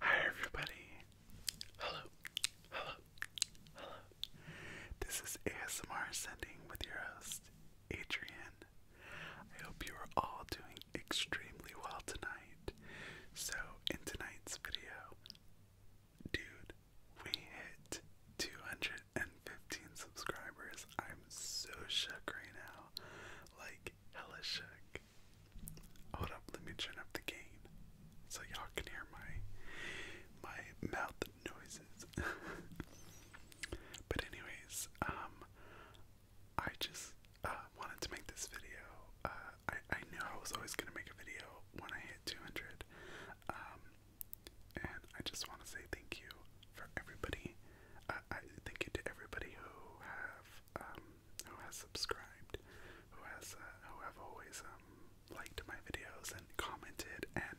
Hi everybody. Hello. Hello. Hello. This is ASMR Sending with your host, Adrian. I hope you are all doing extremely well tonight. So in tonight's video, dude, we hit 215 subscribers. I'm so shook right now. Like, hella shook. Hold up, let me turn up the gain so y'all can hear my my mouth noises. but anyways, um I just uh, wanted to make this video. Uh, I, I knew I was always gonna make a video when I hit 200. Um, and I just want to say thank you for everybody uh, uh, I thank you to everybody who have um, who has subscribed, who has uh, who have always um, liked my videos and commented, and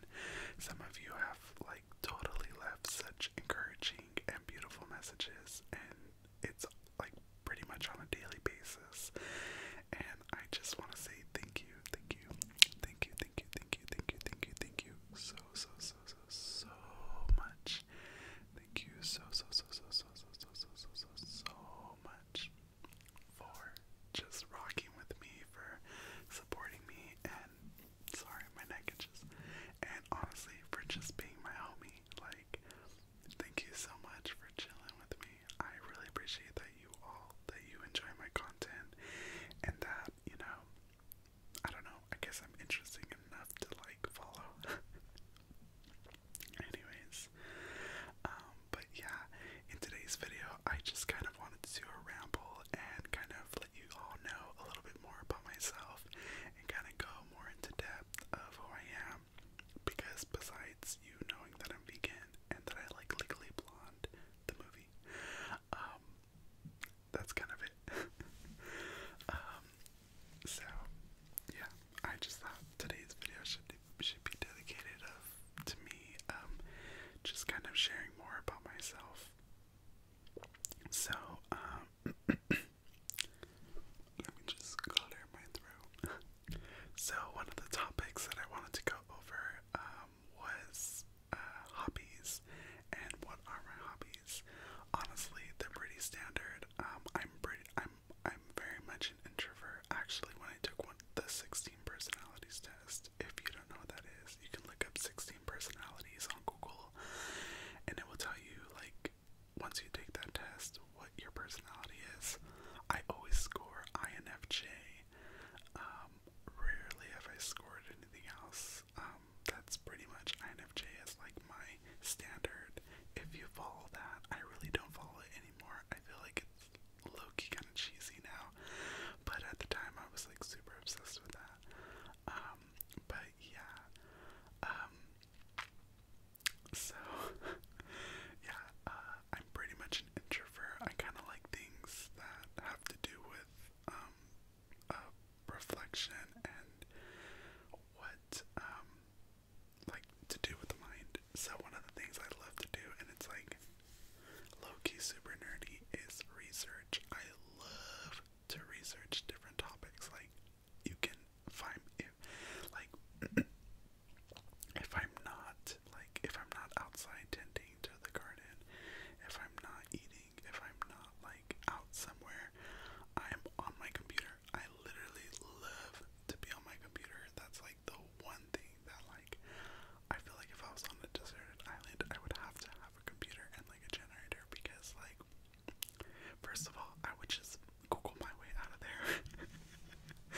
some of you have like totally left such encouraging and beautiful messages, and it's like pretty much on a daily basis. And I just want to say thank you, thank you, thank you, thank you, thank you, thank you, thank you, thank you, so so so so so much. Thank you so so so so so so so so so so so much for just rocking with me, for supporting me, and sorry my neck itches, and honestly for just being my homie. Like, thank you so much for chilling with me. I really appreciate that you all that you enjoy my content and that you know I don't know. I guess I'm interesting enough to like follow. Anyways, um, but yeah, in today's video, I just kind of wanted to do a ramble and kind of let you all know a little bit more about myself and kind of go more into depth of who I am. Because besides you knowing that I'm vegan and that I like Legally Blonde, the movie, um, that's kind of it. Um, so yeah, I just thought today's video should should be dedicated to me, um, just kind of sharing more about myself. So um, let me just clear my throat. so one of the topics that I wanted to go over was uh, hobbies and what are my hobbies. Honestly, they're pretty standard. Um, I'm pretty, I'm, I'm very much an introvert. Actually, when I took one the 16 personalities test, if you don't know what that is, you can look up 16 personalities on Google, and it will tell you like once you take that test what your personality is. I always score INFJ. Um, rarely have I scored anything else. Um, um, that's pretty much INFJ as like my standard. If you follow that, I really don't follow it anymore. I feel like it's low-key kind of cheesy now, but at the time I was like super obsessed with that. Um, but yeah, um, so yeah, uh, I'm pretty much an introvert. I kind of like things that have to do with uh, reflection and what um like to do with the mind. So one of the things I love to do, and it's like low-key super nerdy, is research. I love to research different topics. Like you can find if like if I'm not like if I'm not outside tending to the garden, if I'm not eating if I'm not like out somewhere, I'm on my computer. I literally love to be on my computer. That's like the one thing that like I feel like if I was on a deserted island, I would have to have a computer and like a generator because like First of all, I would just Google my way out of there.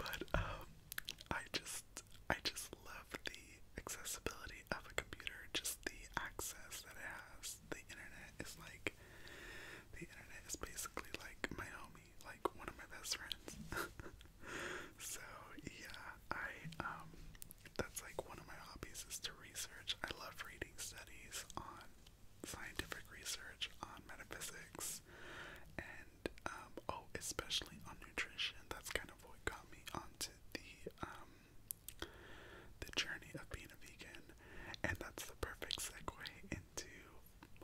but um, I just, I just love the accessibility of a computer, just the access that it has the internet is like the internet is basically like my homie, like one of my best friends. so yeah, I um that's like one of my hobbies is to research. I love reading studies on scientific research on metaphysics and um oh especially on nutrition. That's kind of what got me onto the um the journey of being a vegan, and that's the perfect segue into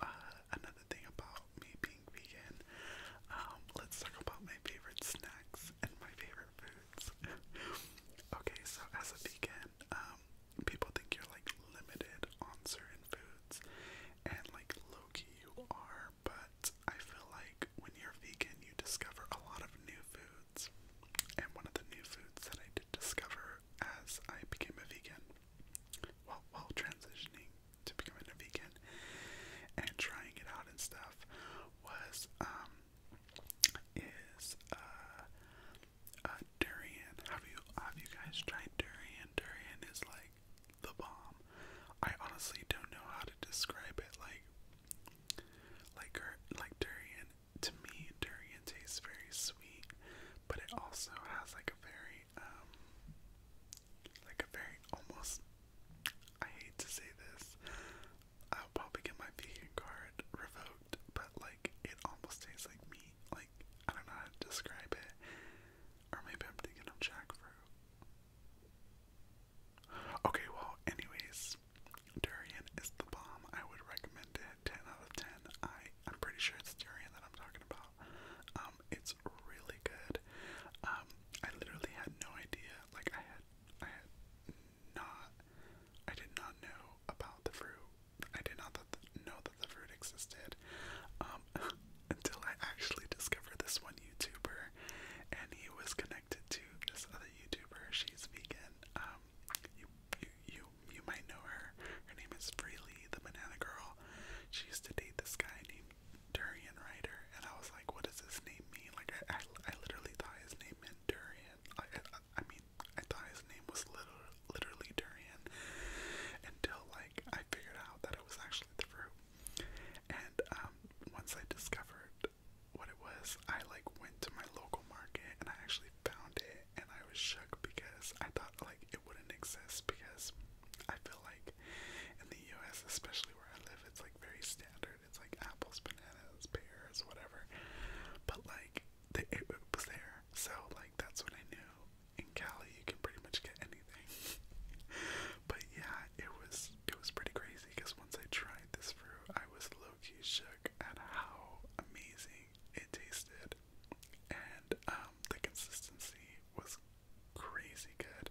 uh, another thing about me being vegan. Um, let's talk about my favorite snacks and my favorite foods. okay, so as a vegan, um, people think you're like limited on certain foods, and like low key you are, but I feel like when you're vegan, you discover a lot of new foods. And one of the new foods that I did discover as I became a vegan, well, while transitioning to becoming a vegan and trying it out and stuff, was um is uh, uh durian. Have you have you guys tried durian? Durian is like the bomb. I honestly don't know how to describe it. Like, like, er, like durian to me, durian tastes very sweet, but it also has like a very, um, like a very almost, I hate to say this, I'll probably get my vegan card revoked, but like it almost tastes like meat. Like, I don't know how to describe it. Or maybe I'm thinking of jackfruit. Okay, well, anyways, Durian is the bomb. I would recommend it. Ten out of ten. I I'm pretty sure it's durian that I'm talking about. Um, it's really good. Um, I literally had no idea. Like I had I had not. I did not know about the fruit. I did not know that the fruit existed um, until I actually discovered this one YouTuber, and he was connected to this other YouTuber. She's vegan. Um, you you you, you might know her. Her name is Freely, the banana girl. She used to date this guy named Durian Rider, and I was like, what does this name mean? Like I I, I literally thought his name meant Durian. I, I I mean I thought his name was literally, literally Durian until like I figured out that it was actually the fruit. And um, once I discovered what it was, I like went to my local market and I actually found it and I was shook because I thought like it wouldn't exist because I feel like in the US, especially where I live, it's like very standard. It's like apples, bananas, pears, whatever. But like the, it, it was there. So like that's when I knew in Cali you can pretty much get anything. but yeah, it was it was pretty crazy because once I tried this fruit, I was low-key shook at how amazing it tasted, and um, the consistency was crazy good.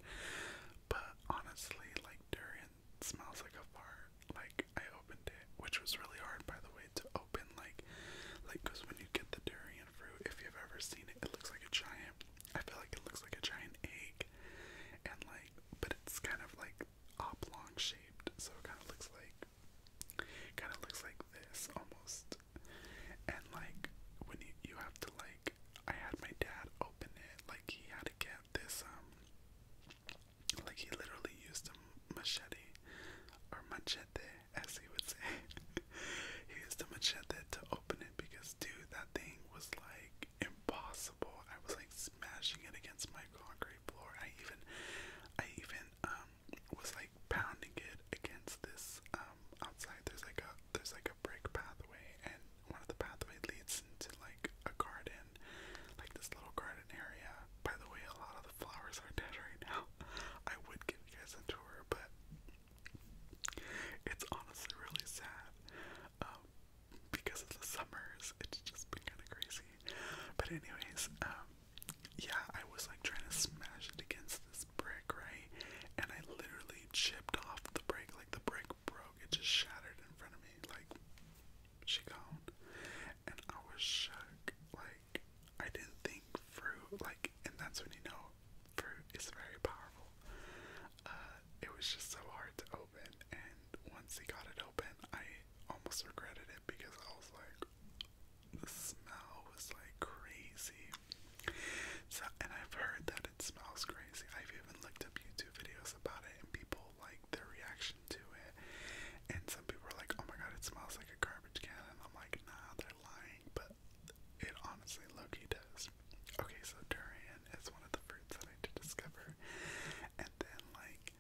But honestly, like durian smells like a fart. Like I opened it, which was really hard, by the way, to open. Like, like because when you get the durian fruit, if you've ever seen it, it looks like a giant. I feel like it looks like a giant egg, and like, but it's kind of like oblong shaped, so it kind of looks like Kind of looks like this almost. And like when you you have to like I had my dad open it like he had to get this um like he literally used a machete or machete as he would say. he used a machete to open it because dude that thing was like impossible. I was like smashing it against my concrete floor. I even I even um was like pounding it against this um, outside there's like a there's like a brick pathway and one of the pathway leads into like a garden like this little garden area by the way a lot of the flowers are dead right now i would give you guys a tour but it's honestly really sad um, because of the summers it's just been kind of crazy but anyways um, yeah, I was like trying to smash it against this brick, right? And I literally chipped off the brick, like the brick broke, it just shattered in front of me, like she gone. And I was shook, like I didn't think fruit, like, and that's when you know fruit is very powerful. Uh, it was just so hard to open, and once he got it open, I almost regretted it because I was like, the smell was like crazy. So, and I've heard that it smells crazy. I've even looked up YouTube videos about it and people like their reaction to it. And some people are like, oh my god, it smells like a garbage can. And I'm like, nah, they're lying. But it honestly, Loki does. Okay, so durian is one of the fruits that I did discover. And then, like,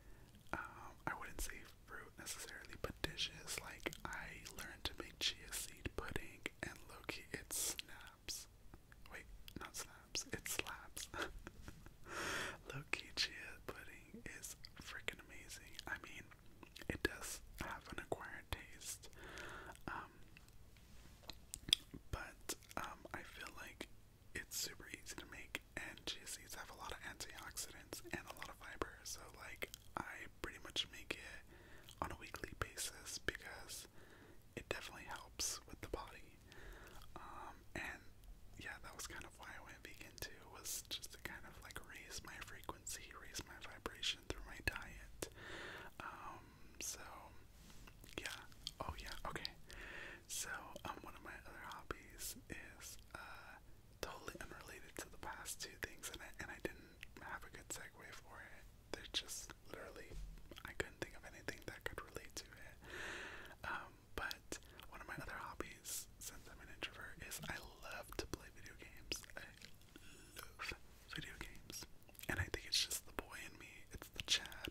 um, I wouldn't say fruit necessarily, but dishes. Like I learned to make chia seed pudding, and Loki it snaps. Wait, not snaps. It slaps. Loki chia pudding is freaking amazing. I mean, it does have an acquired taste, um, but um, I feel like it's super easy to make, and chia seeds have a lot of antioxidants and a lot of fiber. So like I pretty much make it on a weekly basis because it definitely helps with the body. Um, and yeah, that was kind of why I went vegan too, was just to kind of like raise my frequency, raise my vibration through my diet. Um, so yeah, oh yeah, okay. So um, one of my other hobbies is uh totally unrelated to the past two things, and I, and I didn't have a good segue for it. There's just literally, I couldn't think of anything that could relate to it. Um, but one of my other hobbies, since I'm an introvert, is I love to play video games. I love video games. And I think it's just the boy in me. It's the Chad.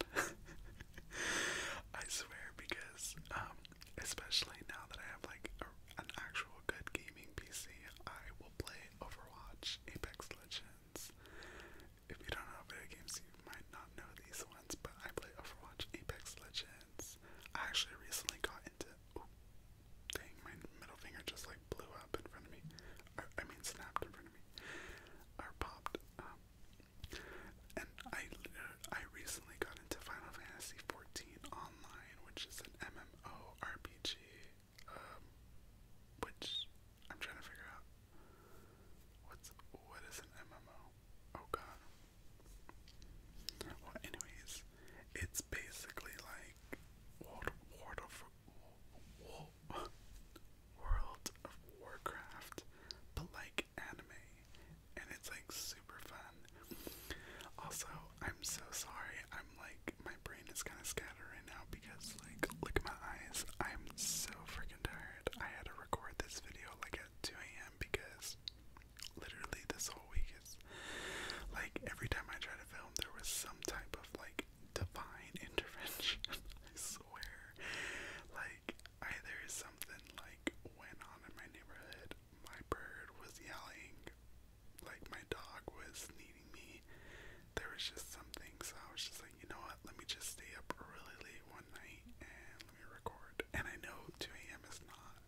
I swear, because um, especially now that I have like a, an actual good gaming PC, I will play Overwatch, Apex Legends. If you don't know video games, you might not know these ones, but I play Overwatch, Apex Legends. I actually recently got into. dang, my middle finger just like blew up in front of me. I mean, snapped in front of me. Or popped. Um, and I I recently got into Final Fantasy XIV Online, which is an MMORPG, um, which I'm trying to figure out what's what is an MMO. Oh god. Well, anyways, it's basically like World World of World of Warcraft, but like anime and it's like super fun. Also, I'm so sorry. I'm like my brain is kind of scattered right now because like look at my eyes. I'm so freaking tired. I had to record this video like at 2 a.m. because literally this whole week is like every time I try to film there was some type of like divine intervention. I swear. Like either something like went on in my neighborhood, my bird was yelling, like my dog was needing me. There was just something, so I was just like, you know what? Let me just stay up really late one night and let me record. And I know 2 a.m. is not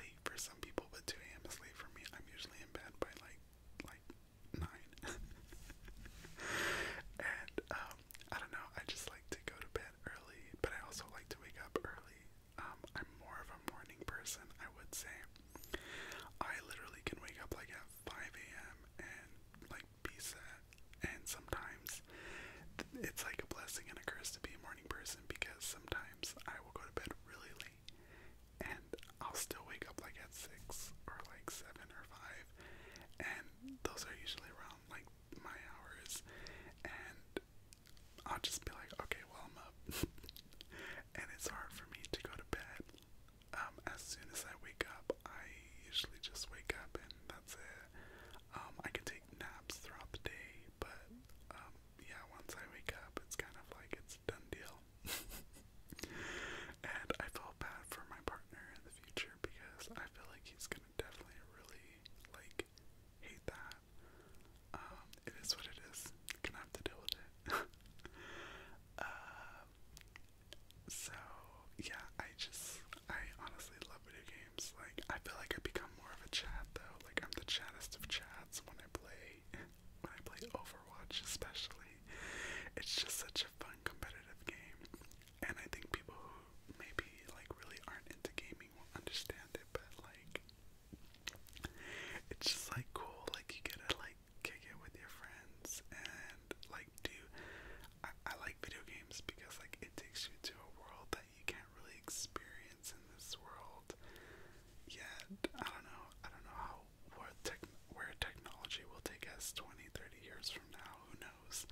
late for some people, but 2 a.m. is late for me. I'm usually in bed by like like nine. and um, I don't know. I just like to go to bed early, but I also like to wake up early. Um, I'm more of a morning person, I would say. I literally can wake up like at 5 a.m. and like be set. And sometimes it's like a blessing and a curse to be a morning person because sometimes I will go to bed really late and I'll still wake up like at 6 or like 7 or 5. And those are usually around like my hours. And I'll just be like, okay, well, I'm up. and it's hard for me to go to bed. Um, as soon as I wake up, I usually just wake up and that's it. Um, I can take naps throughout the day, but um, yeah, once I wake up, it's kind of like it's done deal. and I feel bad for my partner in the future because I feel like he's gonna definitely really like hate that. Um, it is what it is. Gonna have to deal with it. Uh, so yeah, I just I honestly love video games. Like I feel like I become more of a chat though. Like I'm the chattest of chats when I play when I play Overwatch especially. It's just such a fun competitive game. And I think people who maybe like really aren't into gaming will understand it, but like it's just like cool, like you get to like kick it with your friends and like do. I, I like video games because like it takes you to a world that you can't really experience in this world yet. I don't know. I don't know how where tech where technology will take us 20, 30 years from now. Who knows?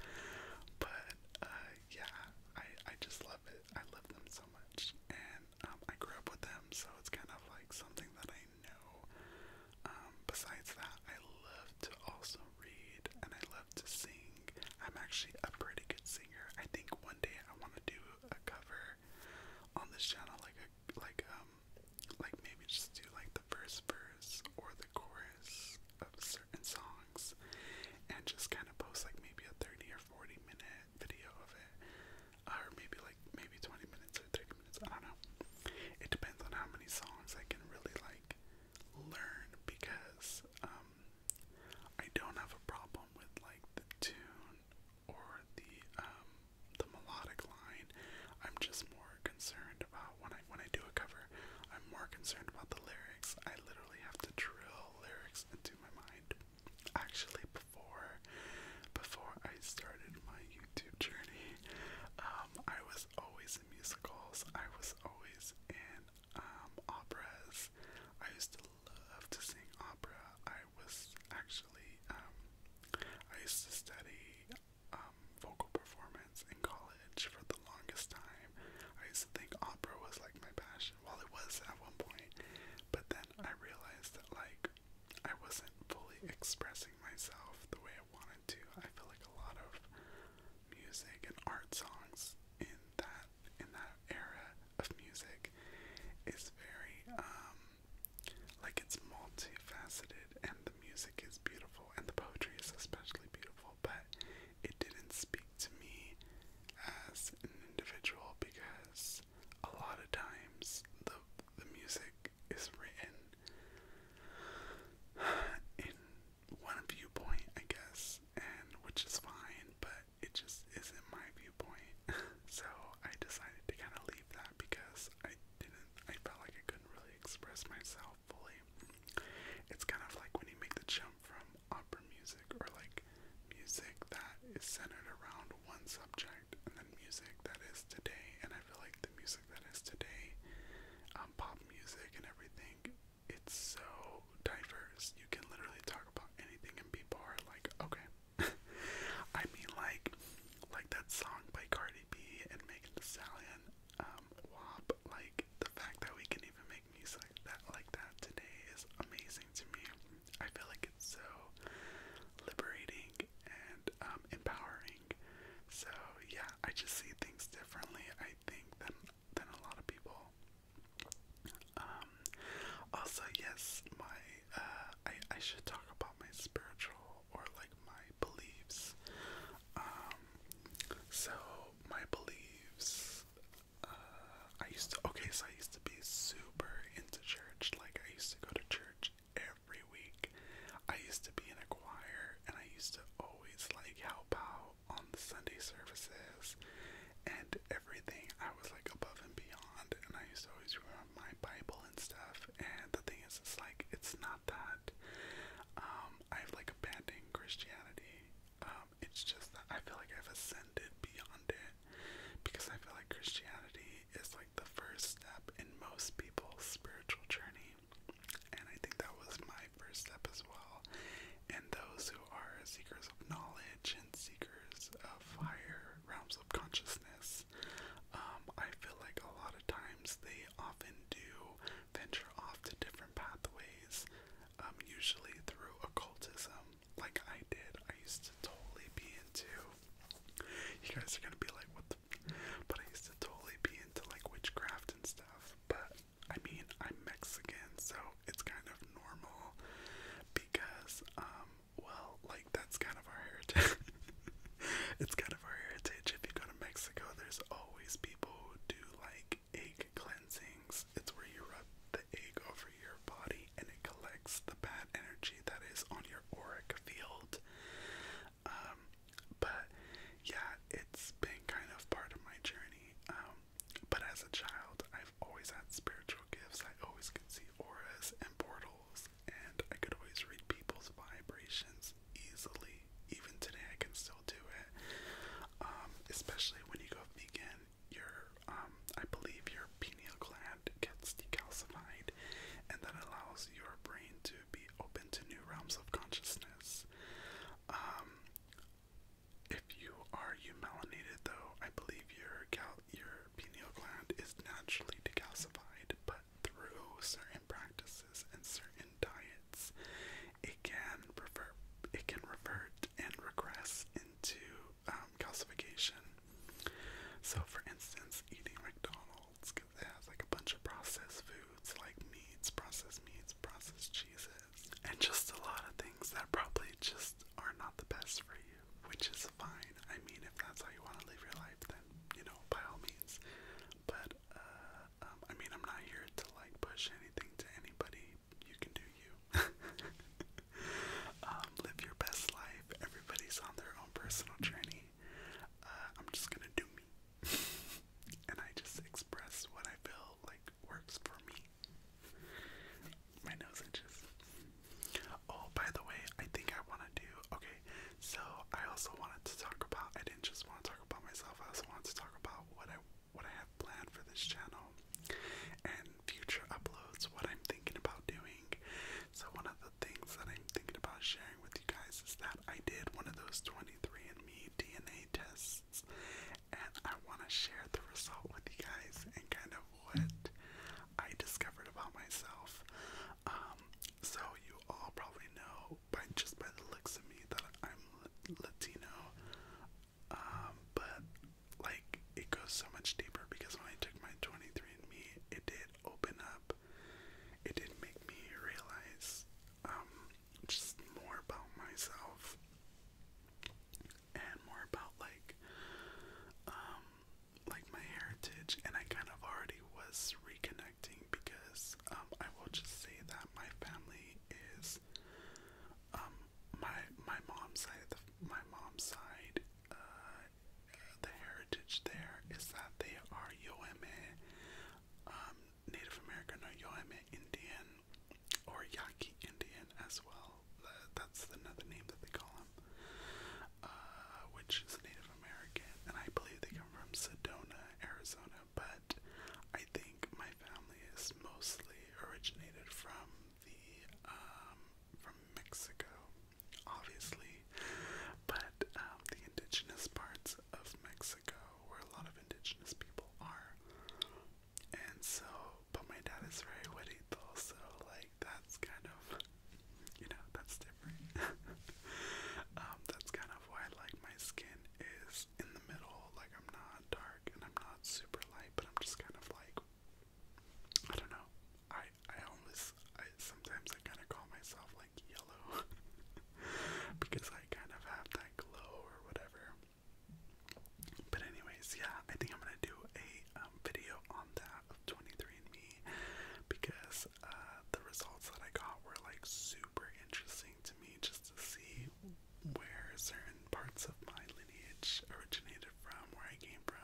But uh, yeah, I I just love it. I love them so much, and um, I grew up with them, so it's kind of like something that I know. Um, besides that, I love to also read and I love to sing. I'm actually a pretty good singer. I think one day I want to do a cover on this channel, like a like um like maybe just do like the first verse or the chorus of certain songs, and just kind of post like maybe a 30 or 40 minute video of it, or maybe like maybe 20 minutes or 30 minutes. I don't know. It depends on how many songs I can really like learn because um, I don't have a problem with like the tune or the um, the melodic line. I'm just more concerned about when I when I do a cover. I'm more concerned about the lyrics. I literally have to drill lyrics into my mind. Actually, before before I started my YouTube journey, um, I was always in musicals. I was always in um, operas. I used to love to sing opera. I was actually um, I used to study um, vocal performance in college for the longest time. I used to think opera was like my passion fashion. Well, it was at one point, but then I realized that like I wasn't fully expressing myself the way I wanted to. I feel like a lot of music and art songs in that in that era of music is very um like it's multifaceted and the music is beautiful and the poetry is especially beautiful, but it didn't speak to me as an individual because a lot of times the the music is written in one viewpoint, I guess, and which is fine, but it just isn't my viewpoint. so I decided to kind of leave that because I didn't I felt like I couldn't really express myself fully. It's kind of like when you make the jump from opera music or like music that is centered around one subject and then music that is today. And I feel like the music that is today, um, pop music and everything, it's so diverse. You can literally talk about anything, and people are like, okay. I mean, like, like that song by Cardi B and making the Stallion, um, WAP. Like the fact that we can even make music like that like that today is amazing to me. I feel like it's so liberating and um, empowering. So yeah, I just see things differently. I think than than a lot of people. Um, also, yes, my uh, I I should talk about my spiritual or like my beliefs. Um, so my beliefs. Uh, I used to okay, so I used to be super into church. Like I used to go to church every week. I used to be in a choir and I used to always like help out on the Sunday services and everything. I was like above and beyond and I used to always remember my Bible and stuff and the thing is it's like it's not that um I've like abandoned Christianity. Um it's just that I feel like I've ascended beyond it because I feel like Christianity is like the first step in most people's spiritual journey. And I think that was my first step as well. And those who are seekers of knowledge and seekers of higher realms of consciousness, um, I feel like a lot of times they often do venture off to different pathways, um, usually through occultism um, like I did. I used to totally be into. You guys are gonna be like, what But I used to totally be into like witchcraft and stuff. But I mean, I'm Mexican, so it's kind of normal because, um, well, like that's kind of our heritage. it's kind of our heritage. If you go to Mexico, there's always people who do like egg cleansings. It's where you rub the egg over your body and it collects the bad energy that is on your auric field. Um, but yeah, it's been kind of part of my journey. Um, but as a child, I've always had spiritual gifts. I always could see auras and portals, and I could always read people's vibrations easily. Even today, I can still do it. Um, especially when you go vegan, your um, I believe your pineal gland gets decalcified, and that allows your brain to be open to new realms of consciousness. Um, if you are eumelanated, though, I believe your cal your pineal gland is naturally decalcified, but through certain practices and certain diets, it can revert, it can revert and regress into um, calcification. So, for instance, eating McDonald's because it has like a bunch of processed foods like meats, processed meats, processed cheeses, and just a lot of things that probably just are not the best for you, which is fine. I mean, if that's how you want to live your life, then you know, by all means. But uh, um, I mean, I'm not here to like push anything to anybody. You can do you. Um, live your best life. Everybody's on their own personal journey. Uh, I'm just gonna do me, and I just express what I feel like works for me. My nose itches. Oh, by the way, I think I want to do okay. So I also wanted to talk about. I didn't just want to talk about myself. I also wanted to talk about what I what I have planned for this channel and future uploads. What I'm thinking about doing. So one of things that I'm thinking about sharing with you guys is that I did one of those 23andMe DNA tests, and I want to share the result with you guys and kind of what I discovered about myself. Um, so you all probably know by just by the looks of me that I'm Latino, um, but like it goes so much deeper because when I took my 23andMe, it did open up, it did make me realize um, just more about myself and more about like um, like my heritage, and I kind of already was reconnecting because um, I will just say that my family is um, my my mom's side my mom's side uh, the heritage there is that they are Yoeme, um, Native American or Yoeme Indian, or Yaqui Indian as well. That's another name that they call them, uh, which is Native American, and I believe they come from Sedona, Arizona. But I think my family is mostly originated from the um, from Mexico obviously, but um, the indigenous parts of Mexico, where a lot of indigenous people are. And so, but my dad is very witty though, so like that's kind of, you know, that's different. um, that's kind of why like my skin is in the middle, like I'm not dark and I'm not super light, but I'm just kind of like I don't know. I I always sometimes I kind of call myself like yellow because I kind of have that glow or whatever. But anyways, yeah, I think I'm gonna do a um, video on that of 23andMe because uh, the results that I got were like super interesting to me just to see where certain parts of my lineage originated from, where I came from.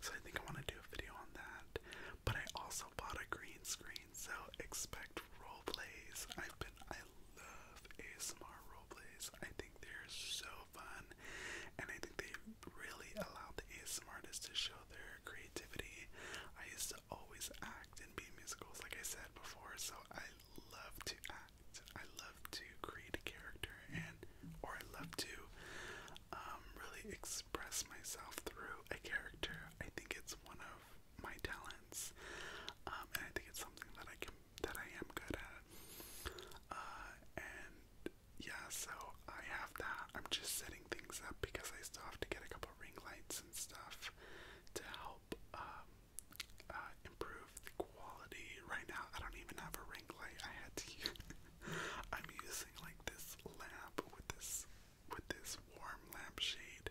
So I think I want to do a video on that. But I also bought a green screen, so expect role plays. I've been I love ASMR role plays. I think they're so fun, and I think they really allow the ASMR artists to show their creativity. I used to always act in be musicals, like I said before. So I love to act. I love to create a character, and or I love to um, really explore express myself through a character. I think it's one of my talents, um, and I think it's something that I can that I am good at. Uh, and yeah, so I have that. I'm just setting things up because I still have to get a couple ring lights and stuff to help um, uh, improve the quality. Right now, I don't even have a ring light. I had to. I'm using like this lamp with this with this warm lamp shade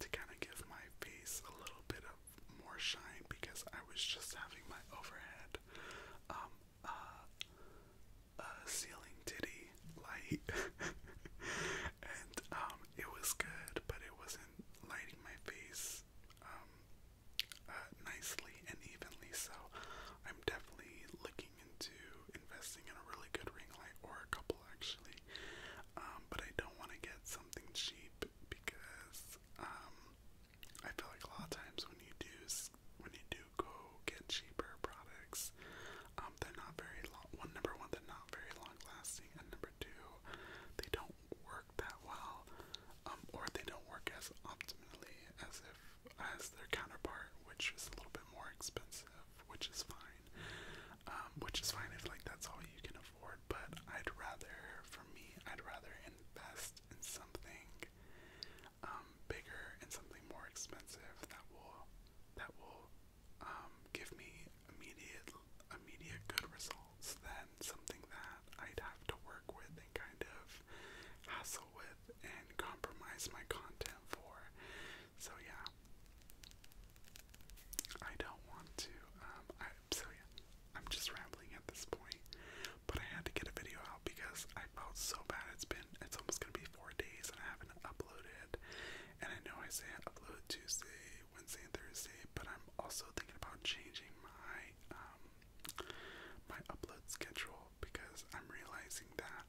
to kind of give my face a little bit of more shine because I was just having my overhead um uh, uh ceiling titty light and um it was good but it wasn't lighting my face um uh, nicely and evenly so I'm definitely looking into investing in a really good ring light or a couple actually. Um, but I don't want to get something cheap because um, I feel like a lot of times when you do when you do go get cheaper products, um, they're not very long. One number one, they're not very long lasting, and number two, they don't work that well, or they don't work as optimally as if as their counterpart, which is a little bit more expensive, which is fine. Um, which is fine if like that's all you can afford, but I'd rather, for me, I'd rather invest in something um, bigger and something more expensive that will that will um, give me immediate immediate good results than something that I'd have to work with and kind of hassle with and compromise my content for. So yeah. I don't want to um so yeah, I'm just rambling at this point. But I had to get a video out because I felt so bad. It's been it's almost gonna be four days and I haven't uploaded. And I know I say upload Tuesday, Wednesday, and Thursday, but I'm also thinking about changing my um my upload schedule because I'm realizing that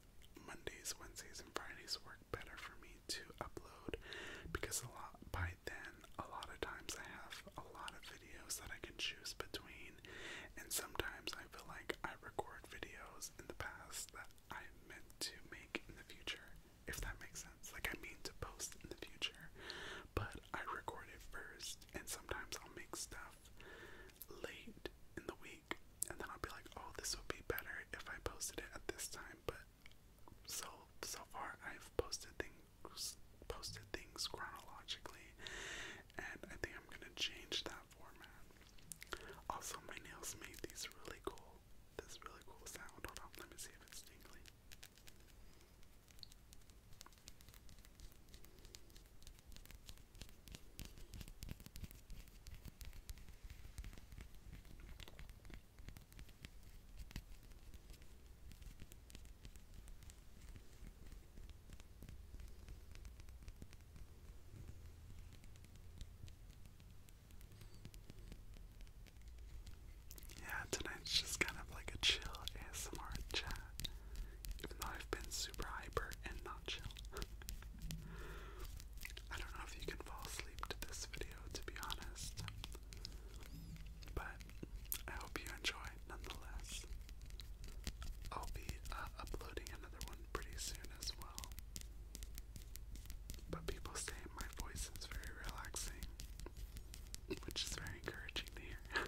Mondays, Wednesdays, and Fridays work better for me to upload because a lot by then a lot of times I have a lot of videos that I can choose between, and sometimes I feel like I record videos in the past that I meant to make in the future, if that makes sense. Like I mean to post in the future, but I record it first, and sometimes I'll make stuff late in the week, and then I'll be like, oh, this would be better if I posted it at this time. But so so far, I've posted things posted things chronologically, and I think I'm gonna change that format. Also, my nails made these really cool. This really cool sound. Hold on, let me see if it's tingly. Yeah, tonight's just kind of like a chill ASMR chat. Even though I've been super hyper and not chill. I don't know if you can fall asleep to this video, to be honest, but I hope you enjoy nonetheless. I'll be uh, uploading another one pretty soon as well. But people say my voice is very relaxing, which is very encouraging to hear.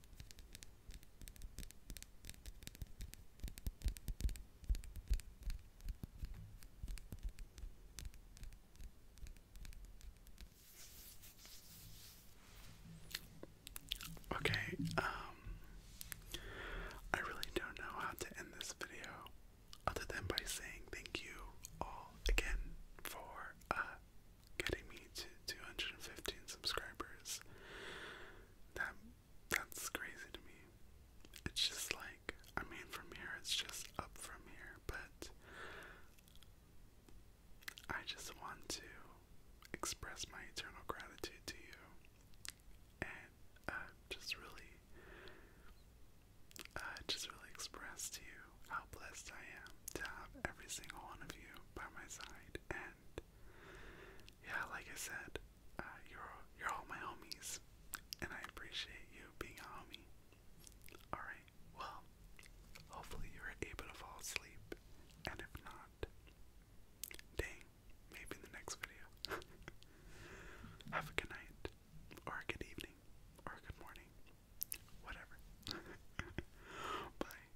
Okay, um, I really don't know how to end this video other than by saying thank you all again for uh, getting me to 215 subscribers. That that's crazy to me. It's just like I mean from here it's just up from here, but I just want to express my eternal gratitude to you and uh, just really uh, just really express to you how blessed I am to have every single one of you by my side yeah, like I said, uh, you're you're all my homies, and I appreciate you being a homie. All right, well, hopefully you were able to fall asleep, and if not, dang, maybe in the next video. Have a good night, or a good evening, or a good morning, whatever. Bye.